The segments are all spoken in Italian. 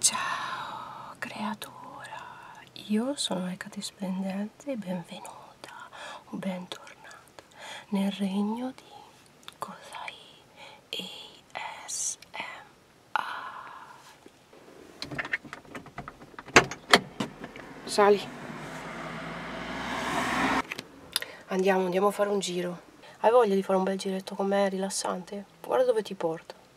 Ciao creatura, io sono Ecate Splendente e benvenuta o bentornata nel regno di Cosai ASMR. Sali. Andiamo, andiamo a fare un giro. Hai voglia di fare un bel giretto con me rilassante? Guarda dove ti porto.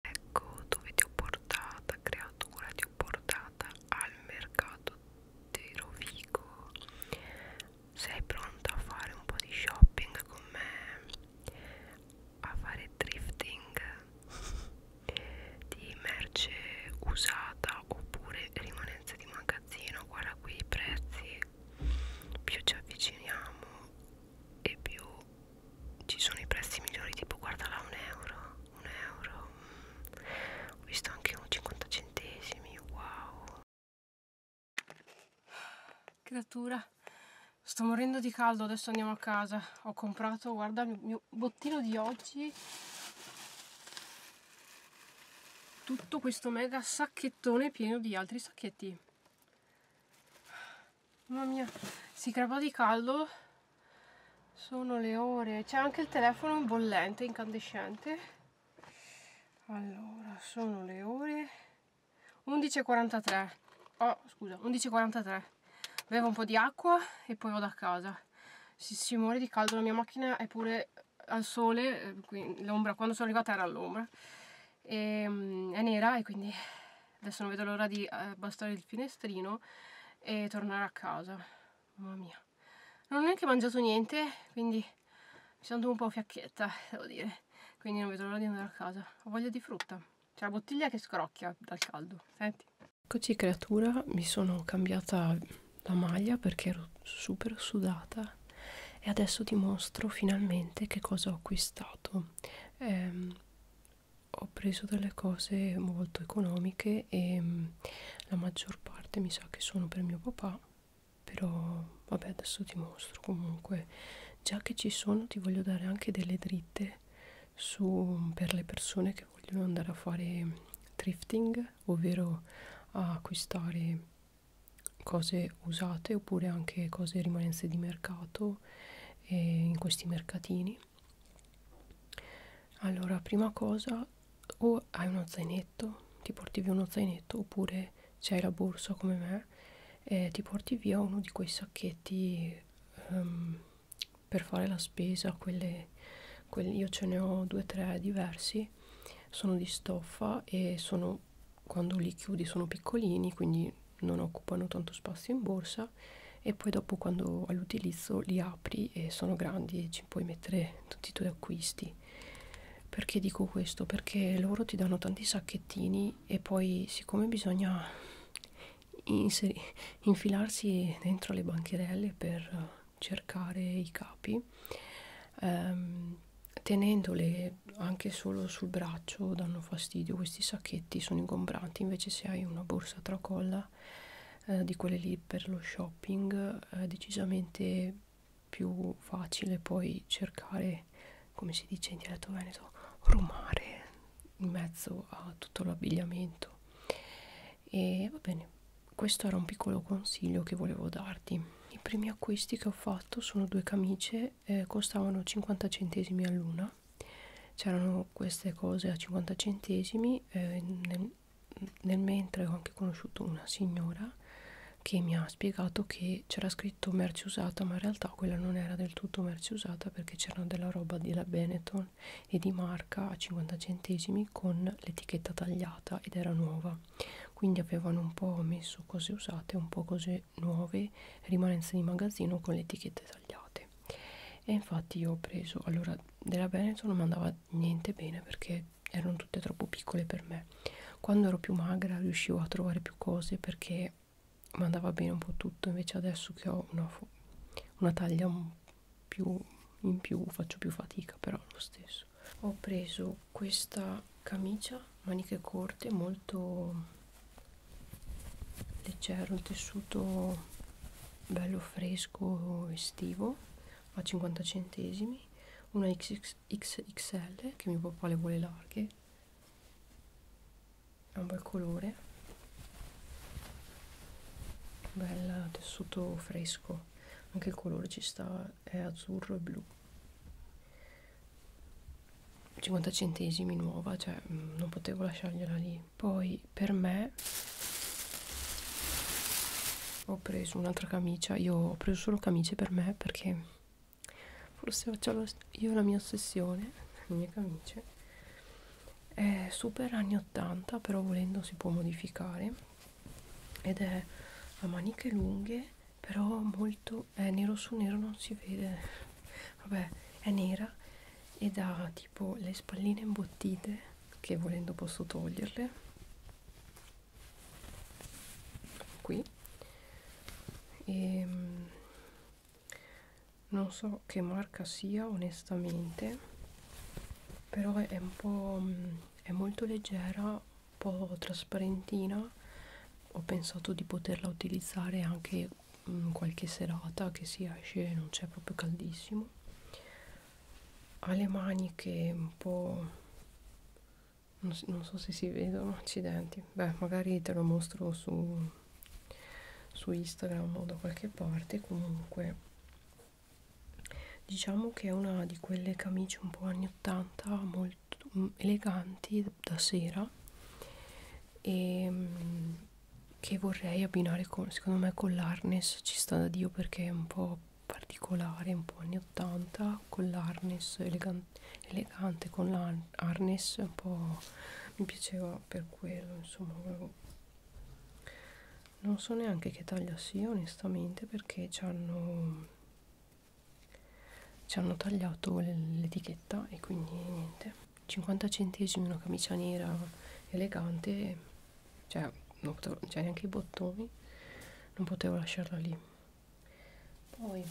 Ecco dove ti ho portata, creatura, ti ho portata al mercato di Rovigo. Sei pronta a fare un po' di shopping con me? A fare drifting? di merce usata oppure rimanenze di magazzino guarda qui i prezzi più ci avviciniamo e più ci sono i prezzi migliori tipo guarda là un euro un euro ho visto anche un 50 centesimi wow creatura sto morendo di caldo adesso andiamo a casa ho comprato guarda il mio bottino di oggi tutto questo mega sacchettone pieno di altri sacchetti mamma mia si crepa di caldo sono le ore c'è anche il telefono in bollente incandescente allora sono le ore 11.43 oh scusa 11.43 bevo un po' di acqua e poi vado a casa si, si muore di caldo, la mia macchina è pure al sole eh, l'ombra, quando sono arrivata era all'ombra ehm, è nera e quindi adesso non vedo l'ora di abbassare eh, il finestrino e tornare a casa mamma mia non ho neanche mangiato niente quindi mi sento un po' fiacchetta devo dire quindi non vedo l'ora di andare a casa ho voglia di frutta c'è la bottiglia che scrocchia dal caldo. Senti. Eccoci creatura, mi sono cambiata la maglia perché ero super sudata e adesso ti mostro finalmente che cosa ho acquistato. Ehm, ho preso delle cose molto economiche e mm, la maggior parte mi sa che sono per mio papà, però vabbè adesso ti mostro comunque. Già che ci sono ti voglio dare anche delle dritte ore su, per le persone che vogliono andare a fare thrifting, ovvero a acquistare cose usate oppure anche cose rimanenze di mercato eh, in questi mercatini. Allora, prima cosa, o hai uno zainetto, ti porti via uno zainetto, oppure se hai la borsa come me, eh, ti porti via uno di quei sacchetti um, per fare la spesa, quelle, quelli, io ce ne ho due o tre diversi, sono di stoffa e sono, quando li chiudi sono piccolini, quindi non occupano tanto spazio in borsa e poi dopo quando all'utilizzo li apri e sono grandi e ci puoi mettere tutti i tuoi acquisti. Perché dico questo? Perché loro ti danno tanti sacchettini e poi siccome bisogna inseri, infilarsi dentro le bancherelle per eh, cercare i capi ehm, tenendole anche solo sul braccio danno fastidio questi sacchetti sono ingombranti invece se hai una borsa tracolla eh, di quelle lì per lo shopping eh, è decisamente più facile poi cercare come, come si dice in dialetto veneto, rumare in mezzo a tutto l'abbigliamento. E va bene, questo era un piccolo consiglio che volevo darti. I primi acquisti che ho fatto sono due camicie, eh, costavano 50 centesimi all'una. C'erano queste cose a 50 centesimi, eh, nel, nel mentre ho anche conosciuto una signora che mi ha spiegato che c'era scritto merce usata ma in realtà quella non era del tutto merce usata perché c'erano della roba della Benetton e di marca a 50 centesimi con l'etichetta tagliata ed era nuova quindi avevano un po' messo cose usate un po' cose nuove rimanenze di magazzino con le etichette tagliate e infatti io ho preso allora della Benetton non mi andava niente bene perché erano tutte troppo piccole per me quando ero più magra riuscivo a trovare più cose perché ma andava bene un po' tutto invece adesso che ho una, una taglia un più in più faccio più fatica però lo stesso ho preso questa camicia maniche corte molto leggero il tessuto bello fresco estivo a 50 centesimi una XXXL che mio papà le vuole larghe è un bel colore bel tessuto fresco anche il colore ci sta è azzurro e blu 50 centesimi nuova cioè mm, non potevo lasciargliela lì poi per me ho preso un'altra camicia io ho preso solo camicie per me perché forse faccio io la mia ossessione, le mie camicie, è super anni 80 però volendo si può modificare ed è a maniche lunghe però molto, è nero su nero non si vede, vabbè è nera ed ha tipo le spalline imbottite che volendo posso toglierle qui così e mm, non so che marca sia onestamente però è un po' mm, è molto leggera un po' trasparentina ho pensato di poterla utilizzare anche in mm, qualche serata che si esce e non c'è proprio caldissimo ha le maniche un po' non, non so se si vedono accidenti beh magari te lo mostro su, su Instagram o da qualche parte comunque diciamo che è una di quelle camicie un po' anni 80 molto mm, eleganti da sera e mm, che vorrei abbinare con secondo me con l'harness ci sta da dio perché è un po' particolare un po' anni 80 rosa con l'harness elegante, elegante con l'harness un po' mi piaceva per quello insomma non so neanche che taglia sia onestamente perché ci hanno ci hanno tagliato l'etichetta e quindi niente 50 centesimi una camicia nera elegante cioè non c'erano cioè, neanche i bottoni non potevo lasciarla lì poi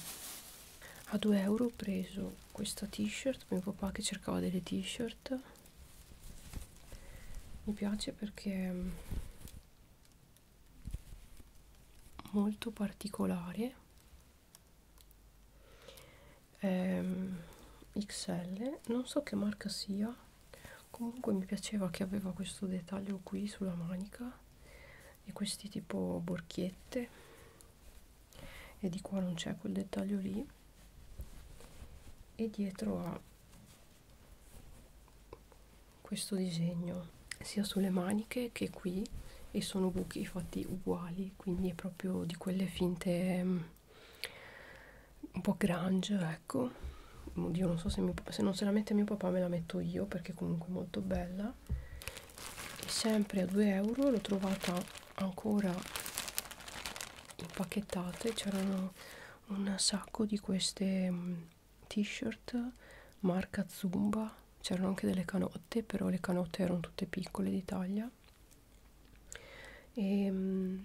a 2 euro ho preso questa t-shirt mio papà che cercava delle t-shirt mi piace perché molto particolare ehm, XL non so che marca sia comunque mi piaceva che aveva questo dettaglio qui sulla manica e questi tipo borchiette e di qua non c'è quel dettaglio lì e dietro ha questo disegno sia sulle maniche che qui e sono buchi fatti uguali quindi è proprio di quelle finte um, un po' grunge ecco oddio non so se, mio, se non se la mette mio papà me la metto io perché comunque è molto bella e sempre a 2 euro l'ho trovata ancora impacchettata c'erano un sacco di queste mm, t-shirt marca zumba c'erano anche delle canotte però le canotte erano tutte piccole di taglia e mh, mm,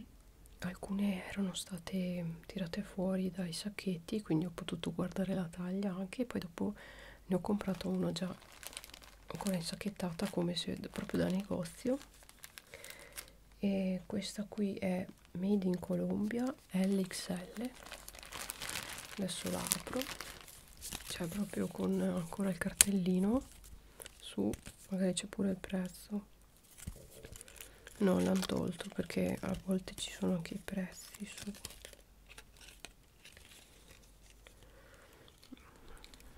alcune erano state tirate fuori dai sacchetti quindi ho potuto guardare la taglia anche e poi dopo ne ho comprato uno già ancora insacchettata come se proprio da negozio e questa qui è made in Colombia LXL adesso la apro c'è proprio con ancora il cartellino su magari c'è pure il prezzo non l'hanno tolto perché a volte ci sono anche i prezzi su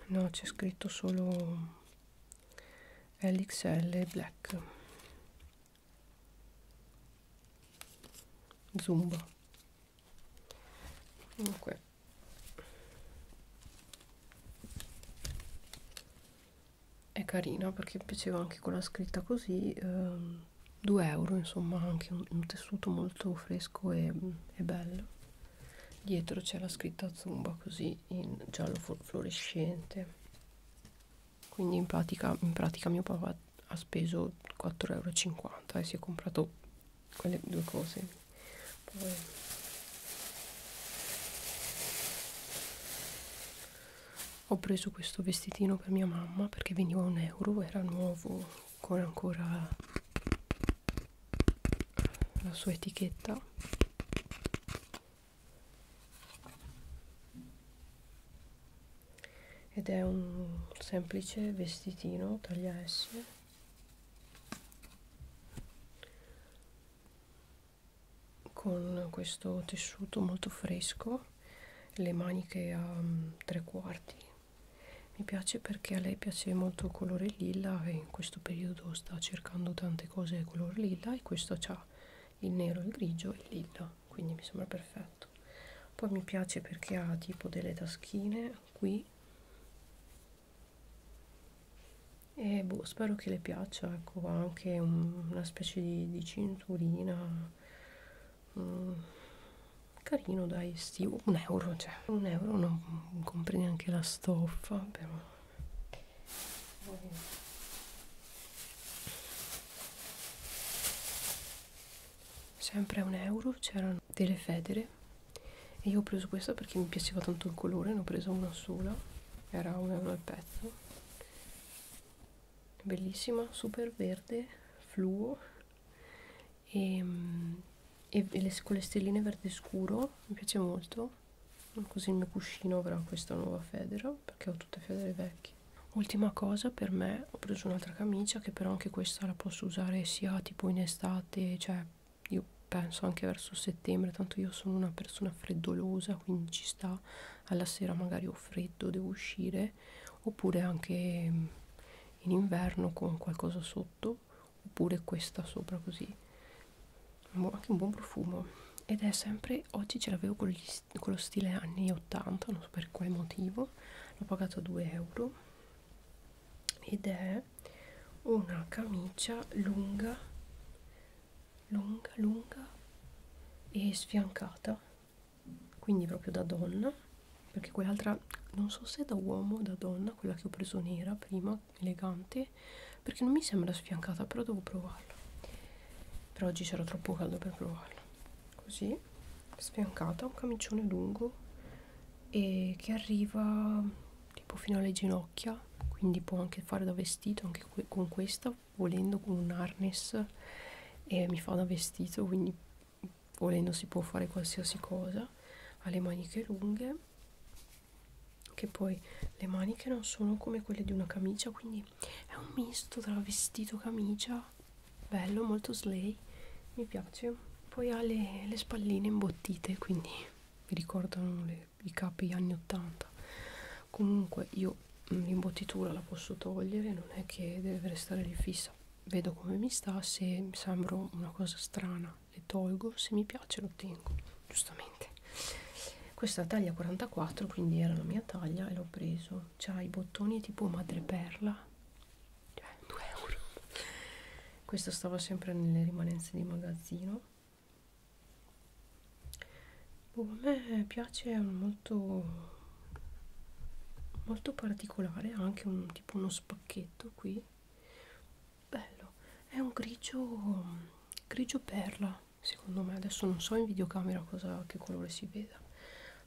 no c'è scritto solo LXL Black Zumba comunque è carina perché piaceva anche con la scritta così ehm, 2 euro insomma anche un, un tessuto molto fresco e, e bello dietro c'è la scritta zumba così in giallo fluorescente quindi in pratica, in pratica mio papà ha speso 4,50 euro e si è comprato quelle due cose Poi ho preso questo vestitino per mia mamma perché veniva un euro era nuovo con ancora la sua etichetta ed è un semplice vestitino taglia S con questo tessuto molto fresco le maniche a mm, tre quarti mi piace perché a lei piace molto il colore lilla e in questo periodo sta cercando tante cose di colore lilla e questo ha il nero, il grigio e il lilla quindi mi sembra perfetto poi mi piace perché ha tipo delle taschine qui e boh, spero che le piaccia, ecco, anche un, una specie di, di cinturina, mm, carino dai, estivo, un euro, cioè, un euro non, non compri neanche la stoffa, però... Sempre a un euro c'erano delle federe e io ho preso questa perché mi piaceva tanto il colore, ne ho presa una sola, era un euro al pezzo bellissima super verde fluo e, ehm, e, e le, con le stelline verde scuro mi piace molto così il mio cuscino avrà questa nuova federa perché ho tutte federe vecchie ultima cosa per me ho preso un'altra camicia che però anche questa la posso usare sia tipo in estate cioè io penso anche verso settembre tanto io sono una persona freddolosa quindi ci sta alla sera magari ho freddo devo uscire oppure anche mm, in inverno con qualcosa sotto oppure questa sopra così boh, anche un buon profumo ed è sempre oggi ce l'avevo con, con lo stile anni 80 non so per quale motivo l'ho pagato 2 euro ed è una camicia lunga lunga lunga e sfiancata quindi proprio da donna perché quell'altra non so se da uomo o da donna quella che ho preso nera prima elegante perché non mi sembra sfiancata però devo provarla per oggi c'era troppo caldo per provarla così sfiancata un camicione lungo e che arriva tipo fino alle ginocchia quindi può anche fare da vestito anche que con questa volendo con un harness e mi fa da vestito quindi volendo si può fare qualsiasi cosa ha le maniche lunghe che poi le maniche non sono come quelle di una camicia quindi è un misto tra vestito camicia bello molto slay mi piace poi ha le, le spalline imbottite quindi mi ricordano le i capi anni 80 comunque io mm, l'imbottitura la posso togliere non è che deve restare lì fissa vedo come mi sta se mi sembra una cosa strana le tolgo se mi piace lo tengo giustamente questa taglia 44 quindi era la mia taglia e l'ho preso c'ha i bottoni tipo madreperla cioè 2 euro questo stava sempre nelle rimanenze di magazzino boh, a me piace molto molto particolare anche un tipo uno spacchetto qui bello è un grigio grigio perla secondo me adesso non so in videocamera cosa che colore si veda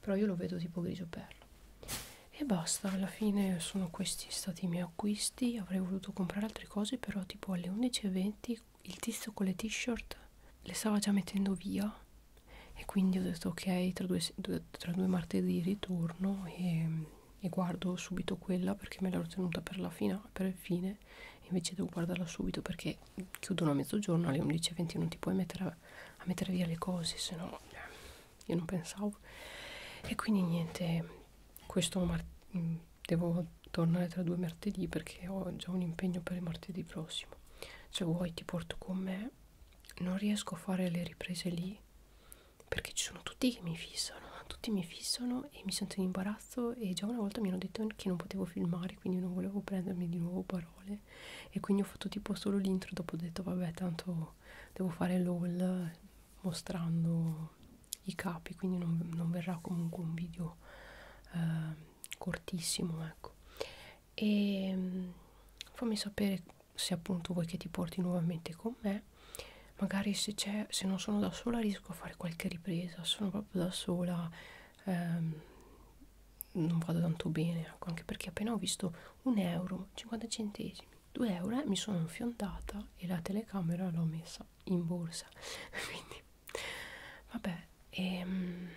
però io lo vedo tipo grigio perla e basta alla fine sono questi stati i miei acquisti avrei voluto comprare altre cose però tipo alle 11.20 il tizio con le t-shirt le stava già mettendo via e quindi ho detto ok tra due, due, tra due martedì ritorno e, e guardo subito quella perché me l'ero tenuta per la fine per il fine invece devo guardarla subito perché chiudono a mezzogiorno alle 11.20 non ti puoi mettere a, a mettere via le cose se no cioè, io non pensavo e quindi niente questo martedì devo tornare tra due martedì perché ho già un impegno per il martedì prossimo se vuoi ti porto con me non riesco a fare le riprese lì perché ci sono tutti che mi fissano tutti mi fissano e mi sento in imbarazzo e già una volta mi hanno detto che non potevo filmare quindi non volevo prendermi di nuovo parole e quindi ho fatto tipo solo l'intro dopo ho detto vabbè tanto devo fare l'all mostrando i capi quindi non, non verrà comunque un video eh, cortissimo ecco e ehm, fammi sapere se appunto vuoi che ti porti nuovamente con me magari se c'è se non sono da sola riesco a fare qualche ripresa sono proprio da sola ehm, non vado tanto bene ecco anche perché appena ho visto un euro 50 centesimi 2 euro eh, mi sono infiondata e la telecamera l'ho messa in borsa quindi vabbè e, ehm,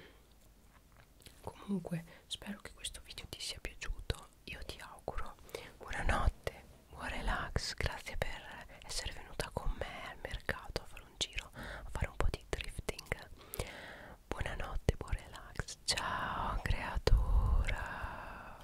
comunque spero che questo video ti sia piaciuto io ti auguro buonanotte buon relax grazie per essere venuta con me al mercato a fare un giro a fare un po' di drifting buonanotte buon relax ciao creatura